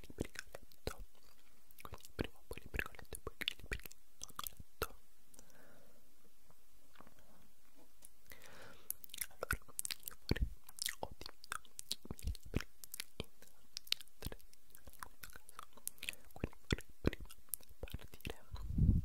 Libricoletto quindi prima poi Libricoletto e poi Libricoletto allora io vorrei ho diviso i miei libri in tre in questo caso quindi vorrei prima partire vorrei prima partire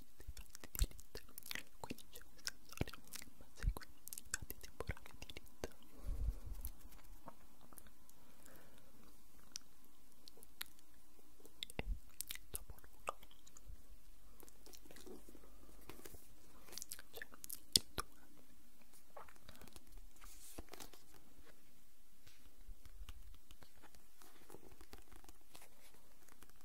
fatti di Lit quindi c'è un sensorio ma segue i fatti temporali di Lit e dopo l'uno c'è il 2 e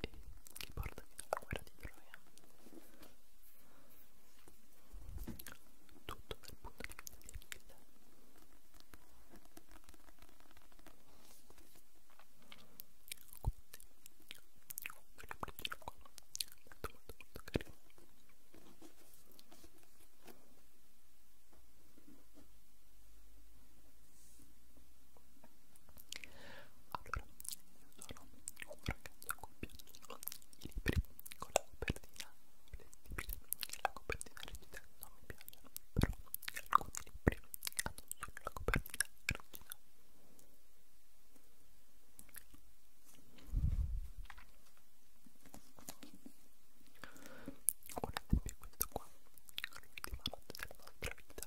e che porta fino alla guerra di Troia. Tutto dal punto di vista di Achille. Quindi, voglio prenderlo qua, molto molto molto carino. Poi allora, io sono un ragazzo accoppiato i libri con la copertina lettibile, la copertina rigida non mi piace, però alcuni libri hanno solo la copertina rigida. Un esempio è questo qua, l'ultima notte della nostra vita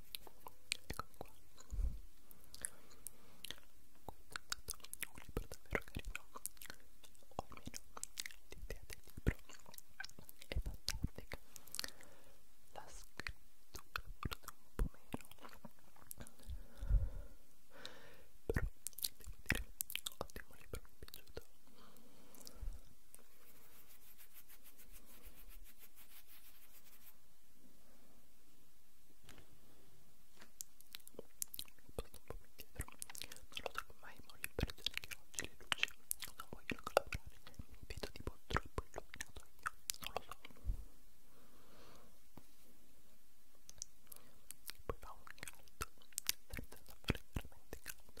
Ecco qua. Un libro davvero carino, o almeno l'idea del libro è fantastica. La scrittura forse un po' meno, però devo dire, ottimo libro, mi è piaciuto lo trovo mai ma le persone che oggi le luci non vogliono collaborare mi vedo tipo troppo illuminato io non lo so poi fa un caldo senza fare veramente caldo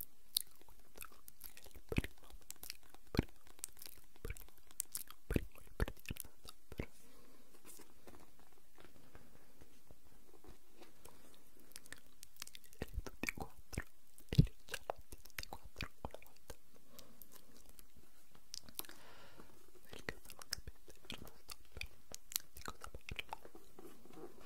di cosa parlo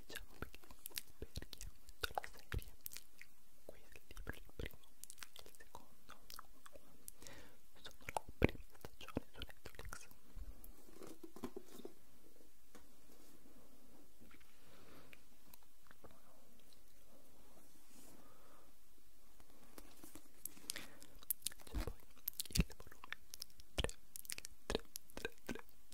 diciamo perché per chi ha fatto la serie questo libro il primo e il secondo sono la prima stagione su Netflix c'è poi il volume 3 3 3 3 3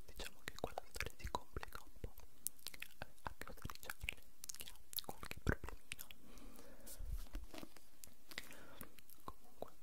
diciamo che quella storia si complica un po' eh, a causa di Charlie che ha qualche problemino comunque terzo volume Guarda, guarda, guarda,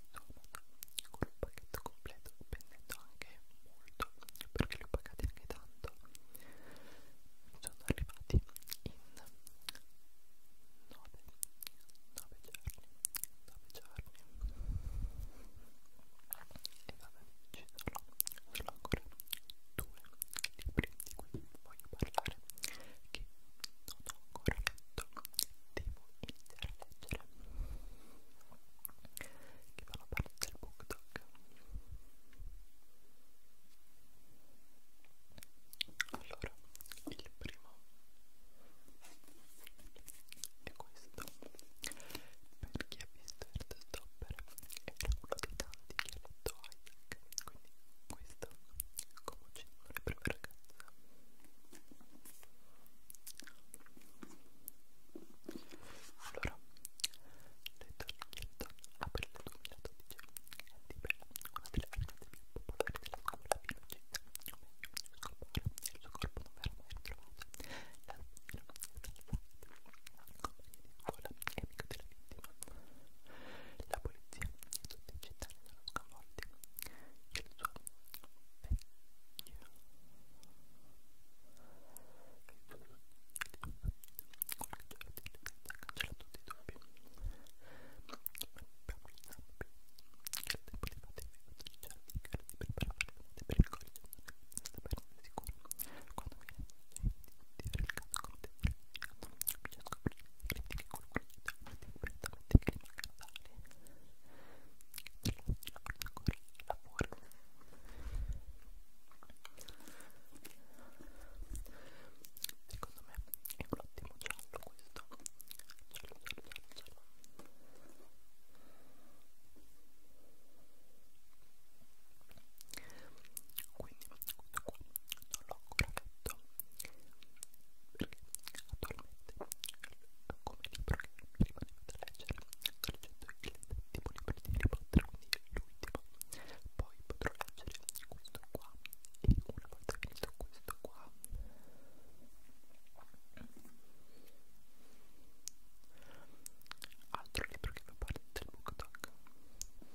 di Dortmund con un pacchetto completo vendendo anche molto perché li ho pagati anche tanto sono arrivati in 9, 9 giorni 9 giorni e vabbè ci sono, sono ancora due libri di cui voglio parlare che non ho ancora letto devo iniziare a leggere che fanno parte del book talk allora il primo è questo per chi ha visto Stopper era uno dei tanti che ha letto Isaac quindi questo come uccidono le prime ragazze allora, Letton Hilton apre il 2012 è di bella, una delle artiste più popolari della scuola fino ad oggi. Il suo corpo non verrà mai ritrovato. La figlia compagna di scuola e amico della vittima. La polizia, i sospettati dalla scuola, sconvolti il suo vecchio il suo vecchio ha cancellato tutti i dubbi che il tempo di fate i cardi per preparare le note per il collo sta bene sicuro quando viene di avere il cazzo con te bisogna scoprire critiche con cui ti avete prettamente clima cardale lavoro secondo me è un ottimo giallo questo giallo giallo giallo quindi questo qua non l'ho ancora fatto perché attualmente come libro che mi rimaneva da leggere sto leggendo il settimo libro di Harry Potter quindi l'ultimo poi potrò leggere questo qua e una volta finito questo qua altro libro che fa parte del book talk sangue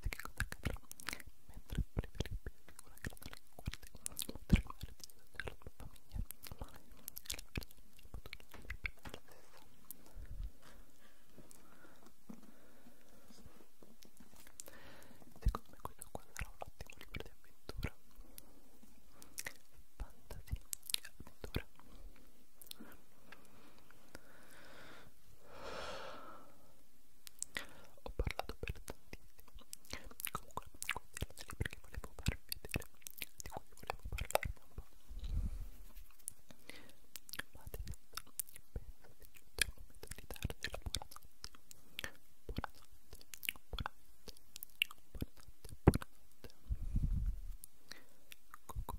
di cacabra, mentre preferibile figura che non le guardi, oltre il mare di della tua famiglia, ma è una persona potuta per la stessa. Secondo me quello qua sarà un ottimo libro di avventura. Fantasy, avventura. Ho parlato per tantissimo. Comunque, questa era la perché volevo farvi vedere di cui volevo parlarvi un po'. Ma adesso penso che giunto il momento di darvi la buonanotte. Buonanotte, buonanotte, buonanotte, buonanotte. Cucù.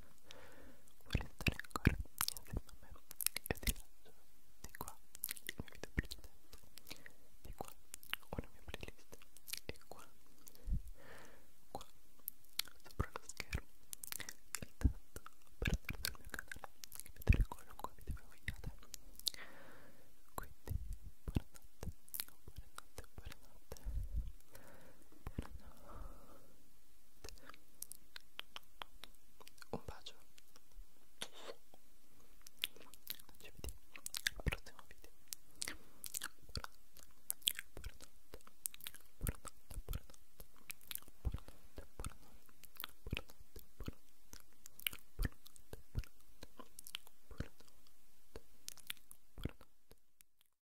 vuoi restare ancora insieme a me e ti lascio di qua il mio video precedente di qua una mia playlist e qua qua sopra lo schermo il tasto per iscriverti al mio canale e vedere qualunque video vogliate quindi buonanotte buonanotte buonanotte buonanotte un bacio ci vediamo al prossimo video buonanotte